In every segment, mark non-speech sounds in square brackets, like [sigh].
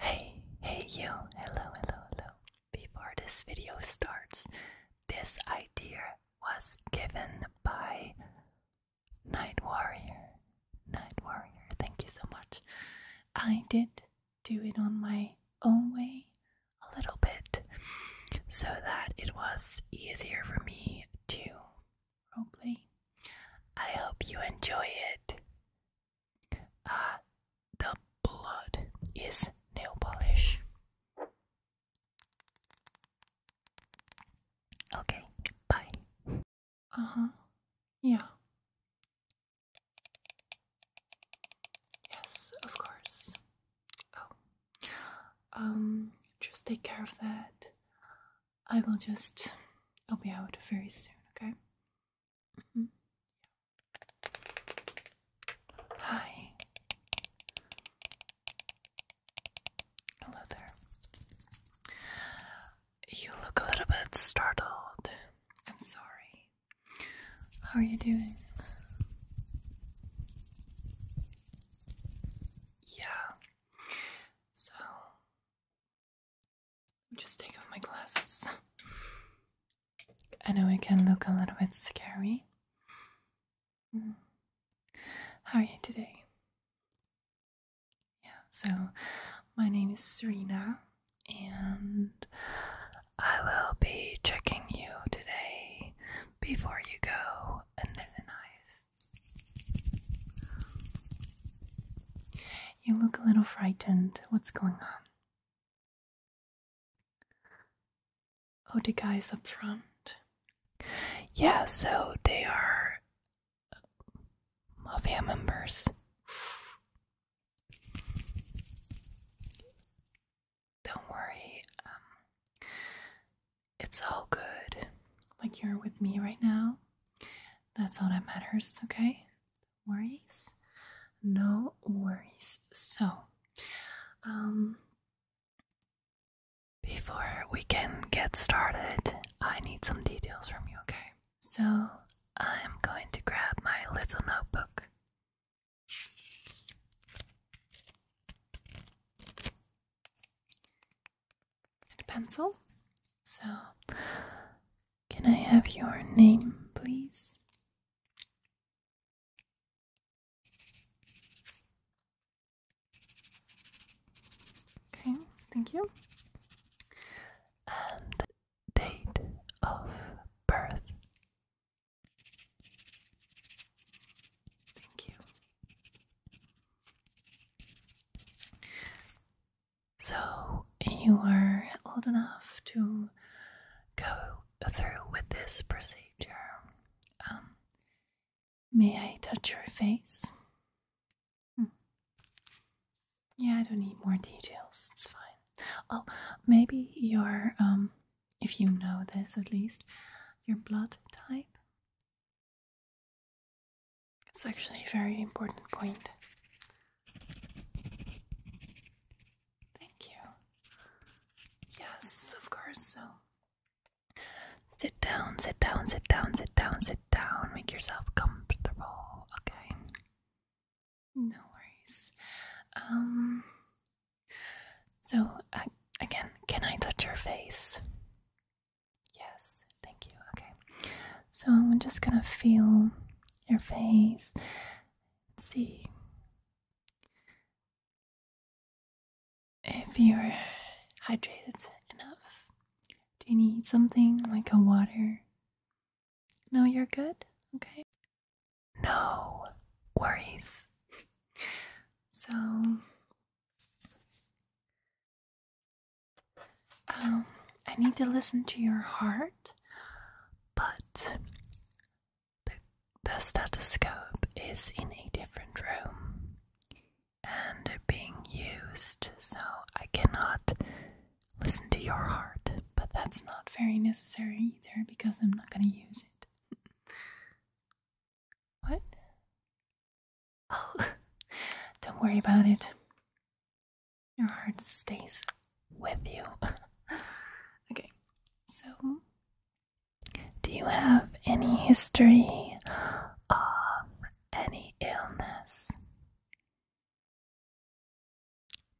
Hey, hey you, hello, hello, hello. Before this video starts, this idea was given by Night Warrior. Night Warrior, thank you so much. I did do it on my own way, a little bit so that it was easier for me to roleplay. I hope you enjoy it. Uh, the blood is nail polish. Okay, bye. Uh huh. Yeah. Yes, of course. Oh. Um, just take care of that. I will just. I'll be out very soon, okay? Mm-hmm. Hi. Hello there. You look a little bit startled. I'm sorry. How are you doing? Yeah. So, just take off my glasses. I know it can look a little bit scary. Mm. How are you today? Yeah, so my name is Serena, and I will be checking you today before you go under the knife. You look a little frightened. What's going on? Oh, the guys up front. Yeah, so they are mafia members. Don't worry. Um, it's all good. Like you're with me right now. That's all that matters, okay? Worries? No worries. So, um, before we can get started, I need some details from you, okay? So, I'm going to grab my little notebook and a pencil. So, can I have your name, please? Okay, thank you. And date of birth. Thank you. So, you are old enough to go through with this procedure. Um, may I touch your face? Hmm. Yeah, I don't need more details. It's fine. Oh, maybe your um if you know this at least, your blood type. It's actually a very important point. Thank you. Yes, of course. So sit down, sit down, sit down, sit down, sit down. Make yourself comfortable, okay? No worries. Um. So, uh, again, can I touch your face? Yes, thank you. Okay. So, I'm just gonna feel your face. see if you're hydrated enough. Do you need something like a water? No, you're good? Okay. No worries. So, um, I need to listen to your heart, but the, the stethoscope is in a different room and being used, so I cannot listen to your heart, but that's not very necessary either because I'm not going to use it. what? Oh, [laughs] don't worry about it. Your heart stays with you. [laughs] okay, so do you have any history of any illness?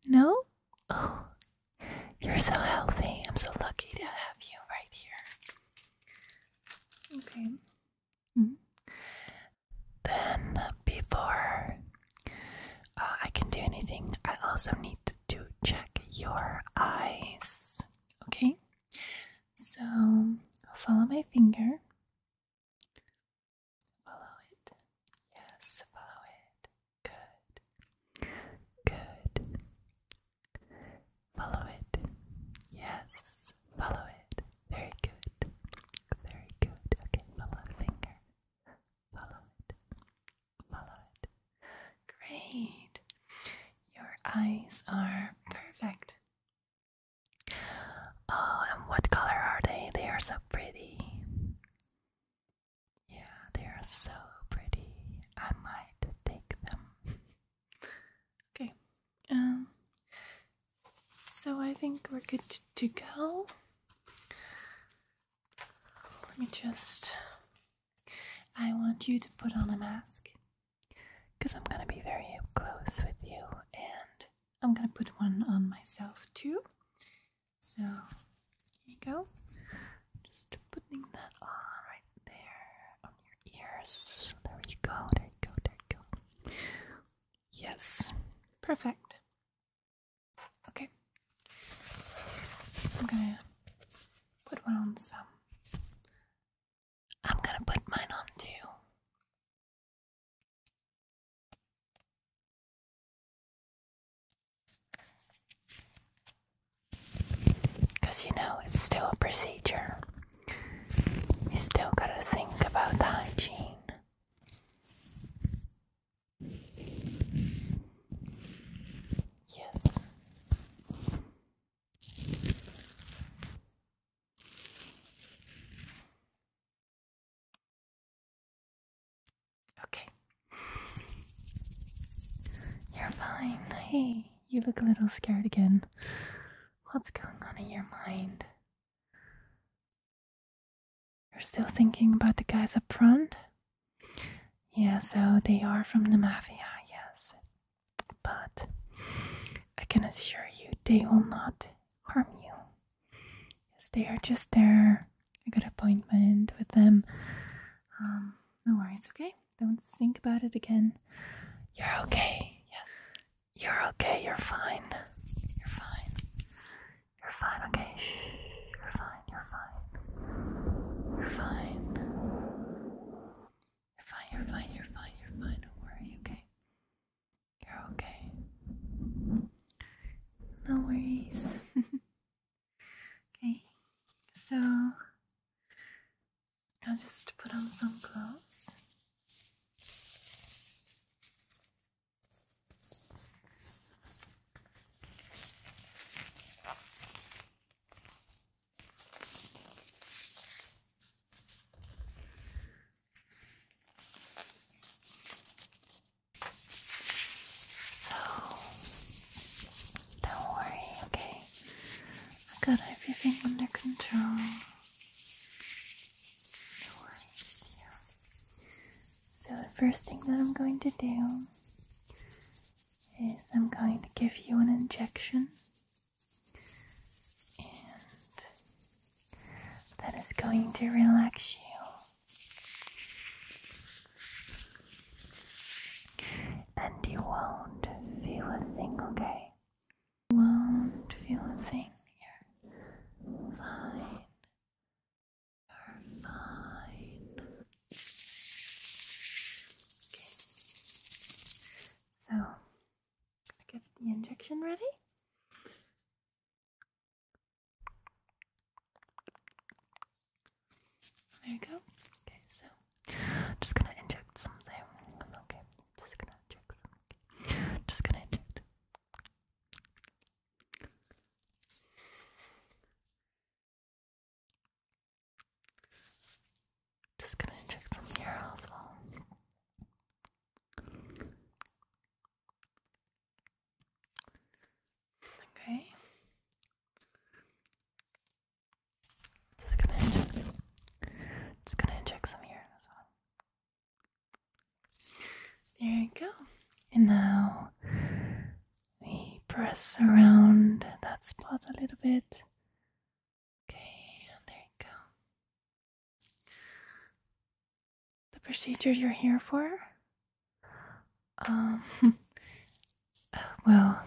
No? Oh, you're so healthy. I'm so lucky to have you right here. Okay. Mm-hmm. Then, before uh, I can do anything, I also need to check your eyes. Okay? So, follow my finger. Follow it. Yes, follow it. Good. Good. Follow it. Yes. Follow it. Very good. Very good. Okay, follow the finger. Follow it. Follow it. Great. Your eyes are perfect. Oh, and what color are they? They are so pretty. Yeah, they are so pretty. I might take them. [laughs] okay. Um so I think we're good to go. Let me just I want you to put on a mask because I'm gonna be very close with you and I'm gonna put one on myself too so here you go. Just putting that on right there on your ears. There you go, there you go, there you go. Yes, perfect. Okay, I'm gonna put one on some. I'm gonna put mine on too. Because you know, it's still a procedure. You still gotta think about the hygiene. Yes. Okay. You're fine. Hey, you look a little scared again. What's going on in your mind? You're still thinking about the guys up front? Yeah, so they are from the mafia, yes. But I can assure you they will not harm you. Yes, they are just there. I got an appointment with them. Um, no worries, okay? Don't think about it again. You're okay. Yes. You're okay. You're fine. You're fine. You're fine, okay? You're fine. You're fine. You're fine. You're fine. You're fine. You're fine. Don't worry, okay? You're okay. No worries. [laughs] okay, so I'll just put on some clothes. So, don't worry, okay? I got everything under control. Don't worry, So, the first thing that I'm going to do is I'm going to give you an injection. And that is going to relax you and you won't feel a thing, won't feel a thing. You're fine. You're fine. Okay. So, get the injection ready. There you go. Okay, so I'm just gonna inject something. Okay, just gonna inject Just gonna inject. Just gonna inject some here as well. Okay. Just gonna just gonna inject some here as well. There you go. And now we press around that spot a little bit. Okay, and there you go the procedure you're here for? Um, [laughs] uh, well,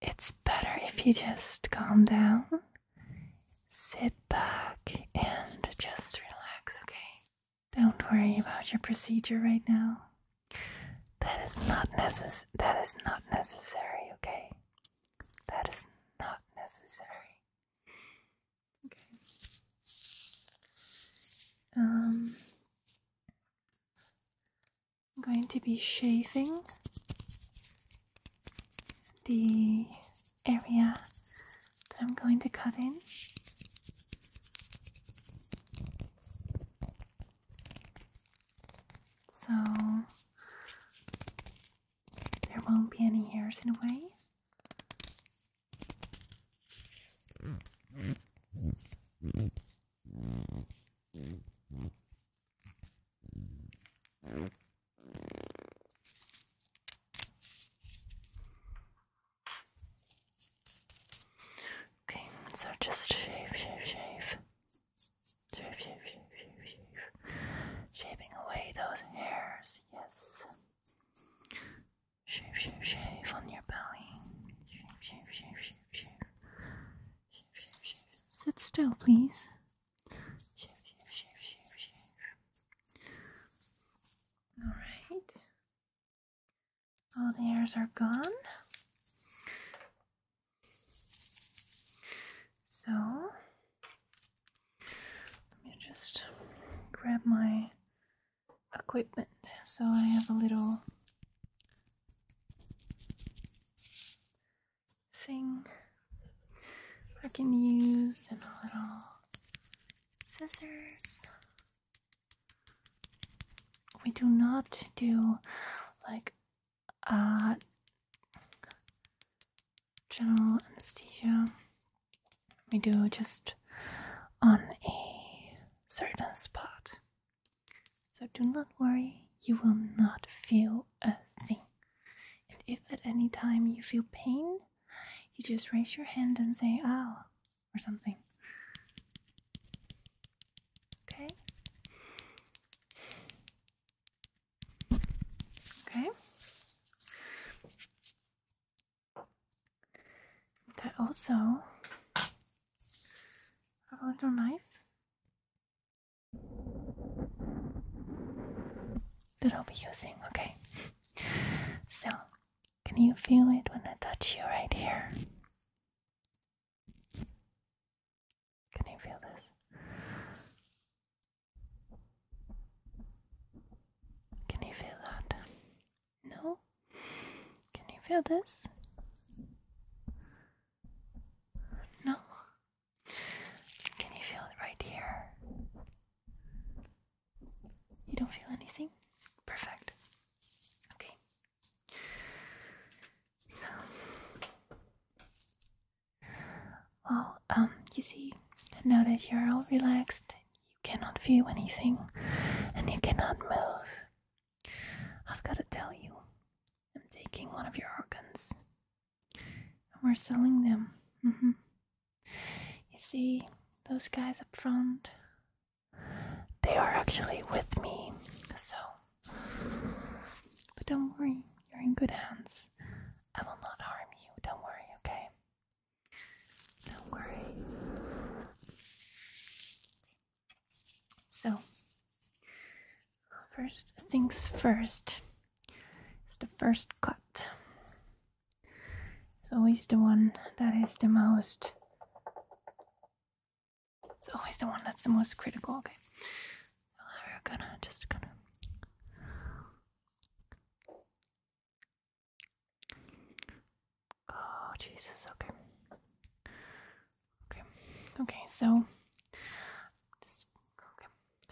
it's better if you just calm down, sit back, and just relax, okay? Don't worry about your procedure right now. That is not necess- that is not necessary, okay? That is not necessary. Okay. Um, I'm going to be shaving the area that I'm going to cut in. So there won't be any hairs in a way. Okay, so just shave, shave, shave. Shave, shave, shave, shave, shave. Shaving away those hairs, yes. Shave, shave, shave on your belly. Shave, shave, shave, shave, shave. Shave, shave, shave. Sit still, please. Shave, shave, shave, shave, shave. Alright. All the hairs are gone. So let me just grab my equipment. So I have a little thing I can use and a little scissors. We do not do like uh, general anesthesia we do just on a certain spot. So do not worry, you will not feel a thing. And if at any time you feel pain, you just raise your hand and say ow oh, ah, or something. Okay? Okay. That also a little knife that I'll be using, okay? So can you feel it when I touch you right here? Can you feel this? Can you feel that? No? Can you feel this? No? Can you feel it right here? You don't feel anything? Perfect. Okay. So, well, um, you see, now that you're all relaxed, you cannot feel anything and you cannot move. I've got to tell you, I'm taking one of your organs and we're selling them. Mm-hmm. You see, those guys up front, they are actually with me, so but don't worry, you're in good hands. I will not harm you, don't worry, okay? Don't worry. So, first things first It's the first cut. It's always the one that is the most. It's always the one that's the most critical, okay? we're gonna just gonna Oh Jesus, okay. Okay. Okay, so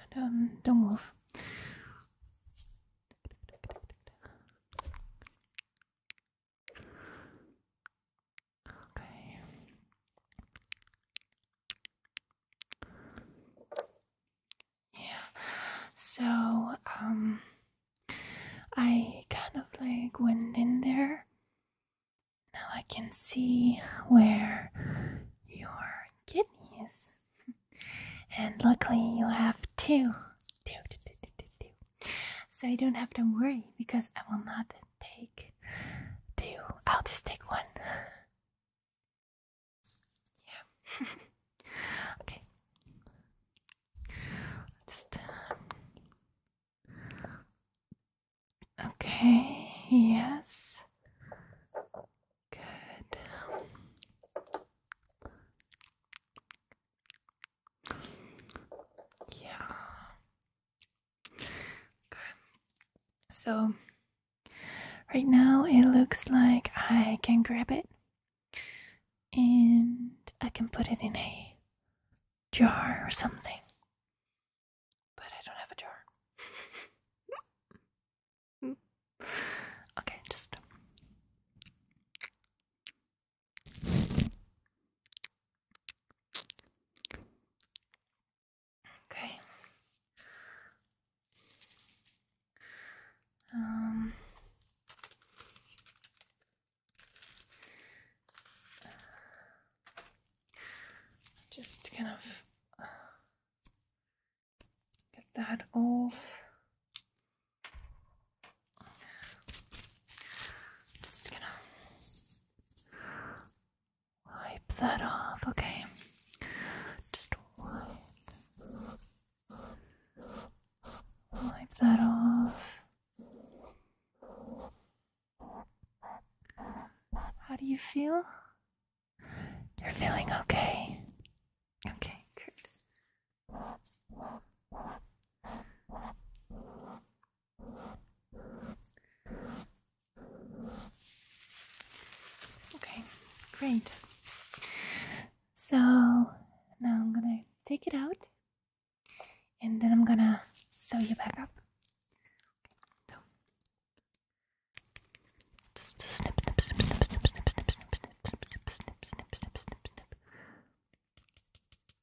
okay. don't move. Okay. Yeah. So, um, I kind of like went in there. Now I can see where your kidney is. [laughs] and luckily you have two. Two, two, So I don't have to worry because I will not take two. I'll just take one. [laughs] Yeah. [laughs] okay. Um, okay. Yes. Good. Yeah. So right now it looks like I can grab it and I can put it in a jar or something. But I don't have a jar. [laughs] okay, just Okay. Um, just kind of uh, get that off. Just gonna Wipe that off, okay? Just wipe, that off. How do you feel? You're feeling okay. Okay, Okay, great. So now I'm gonna take it out and then I'm gonna sew you back up.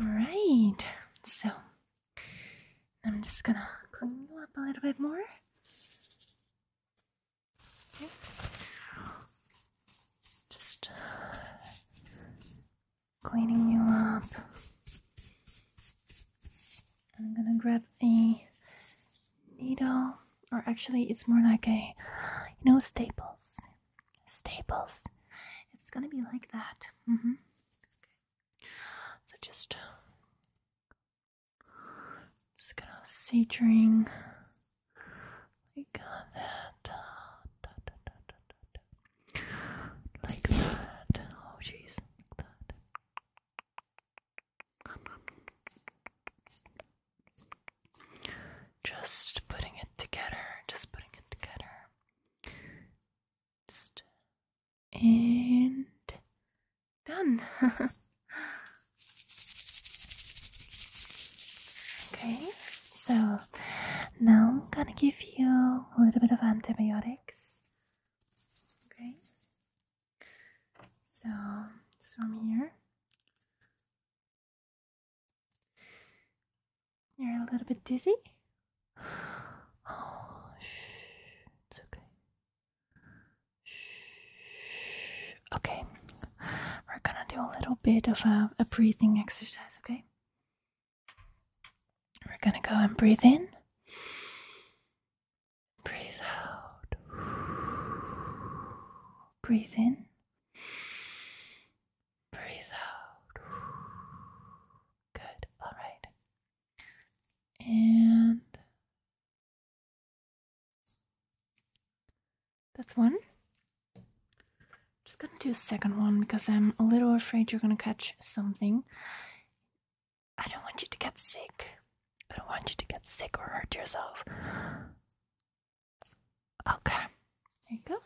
All right, so I'm just gonna clean you up a little bit more. Just uh, cleaning you up. I'm gonna grab a needle, or actually, it's more like a you know, staples. Staples. It's gonna be like that. Mm hmm. So just, just gonna saturing like that. Like that. Oh, jeez. Like that. Just putting it together, just putting it together. Just and done. [laughs] okay, so now I'm gonna give you a little bit of antibiotics. Okay, so it's from here. You're a little bit dizzy? Oh, [sighs] It's okay. Okay. We're gonna do a little bit of a breathing exercise, okay? We're gonna go and breathe in. Breathe out. Breathe in. Breathe out. Good. All right. And that's one. Just gonna do a second one because I'm a little afraid you're gonna catch something. I don't want you to get sick. I don't want you to get sick or hurt yourself. Okay, there you go.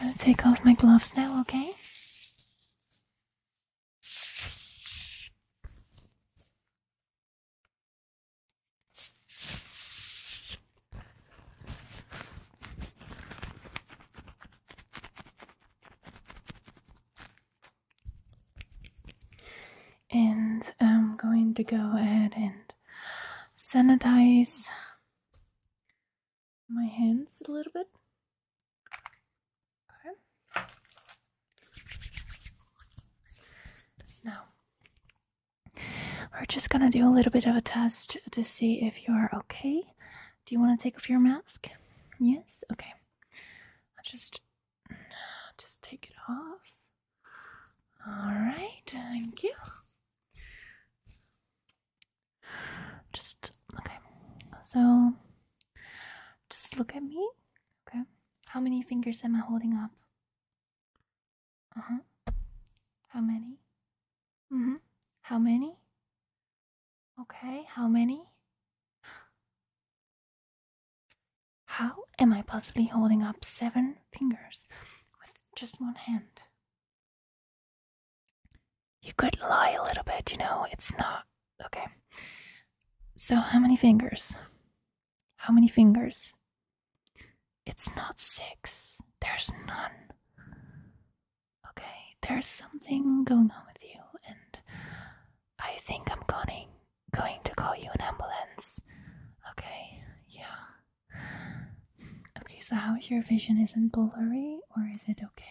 I'm gonna take off my gloves now, okay? And I'm going to go ahead and sanitize my hands a little bit. Okay. Now, we're just gonna do a little bit of a test to see if you're okay. Do you want to take off your mask? Yes? Okay. I'll just just take it off. All right, thank you. Just okay. So, just look at me. Okay. How many fingers am I holding up? Uh huh. How many? Mm hmm. How many? Okay. How many? How am I possibly holding up seven fingers with just one hand? You could lie a little bit, you know, it's not. Okay. So, how many fingers? How many fingers? It's not six. There's none. Okay, there's something going on with you, and I think I'm going going to call you an ambulance. Okay, yeah. Okay, so how is your vision? Is it blurry or is it okay?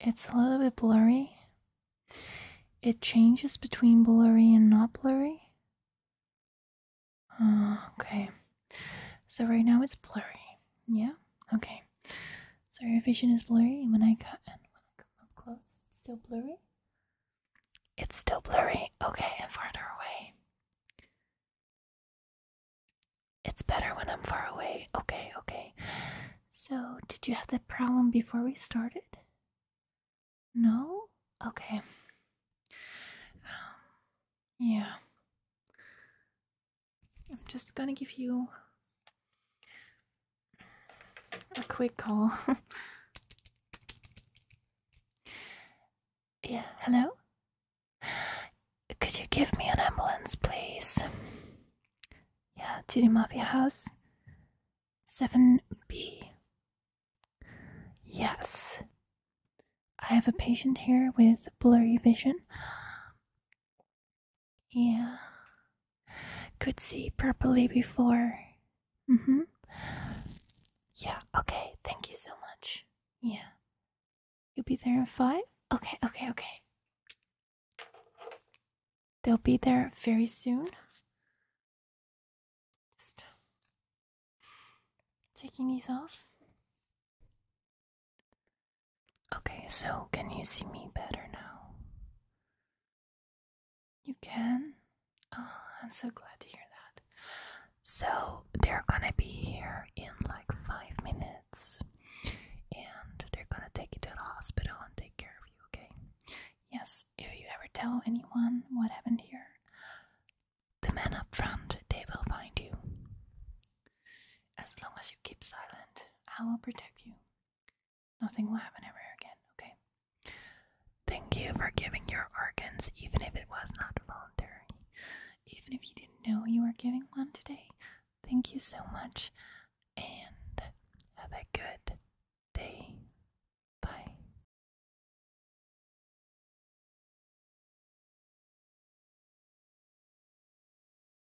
It's a little bit blurry. It changes between blurry and not blurry. Uh, okay, so right now it's blurry. Yeah? Okay. So your vision is blurry, and when I cut and when I come up close, still blurry. It's still blurry. Okay, i and farther away. It's better when I'm far away. Okay, okay. So, did you have that problem before we started? No? Okay. Um, yeah. I'm just gonna give you a quick call. [laughs] yeah, hello? Could you give me an ambulance, please? Yeah, to the Mafia House 7B. Yes. I have a patient here with blurry vision. Yeah. Could see properly before. Mm hmm. Yeah, okay. Thank you so much. Yeah. You'll be there in five? Okay, okay, okay. They'll be there very soon. Just taking these off. Okay, so can you see me better now? You can? Oh, I'm so glad to hear that. So, they're gonna be here in like five minutes and they're gonna take you to the hospital and take care of you, okay? Yes, if you ever tell anyone what happened here, the men up front, they will find you. As long as you keep silent, I will protect you Nothing will happen ever again, okay? Thank you for giving your organs, even if it was not voluntary. Even if you didn't know you were giving one today. Thank you so much, and have a good day. Bye.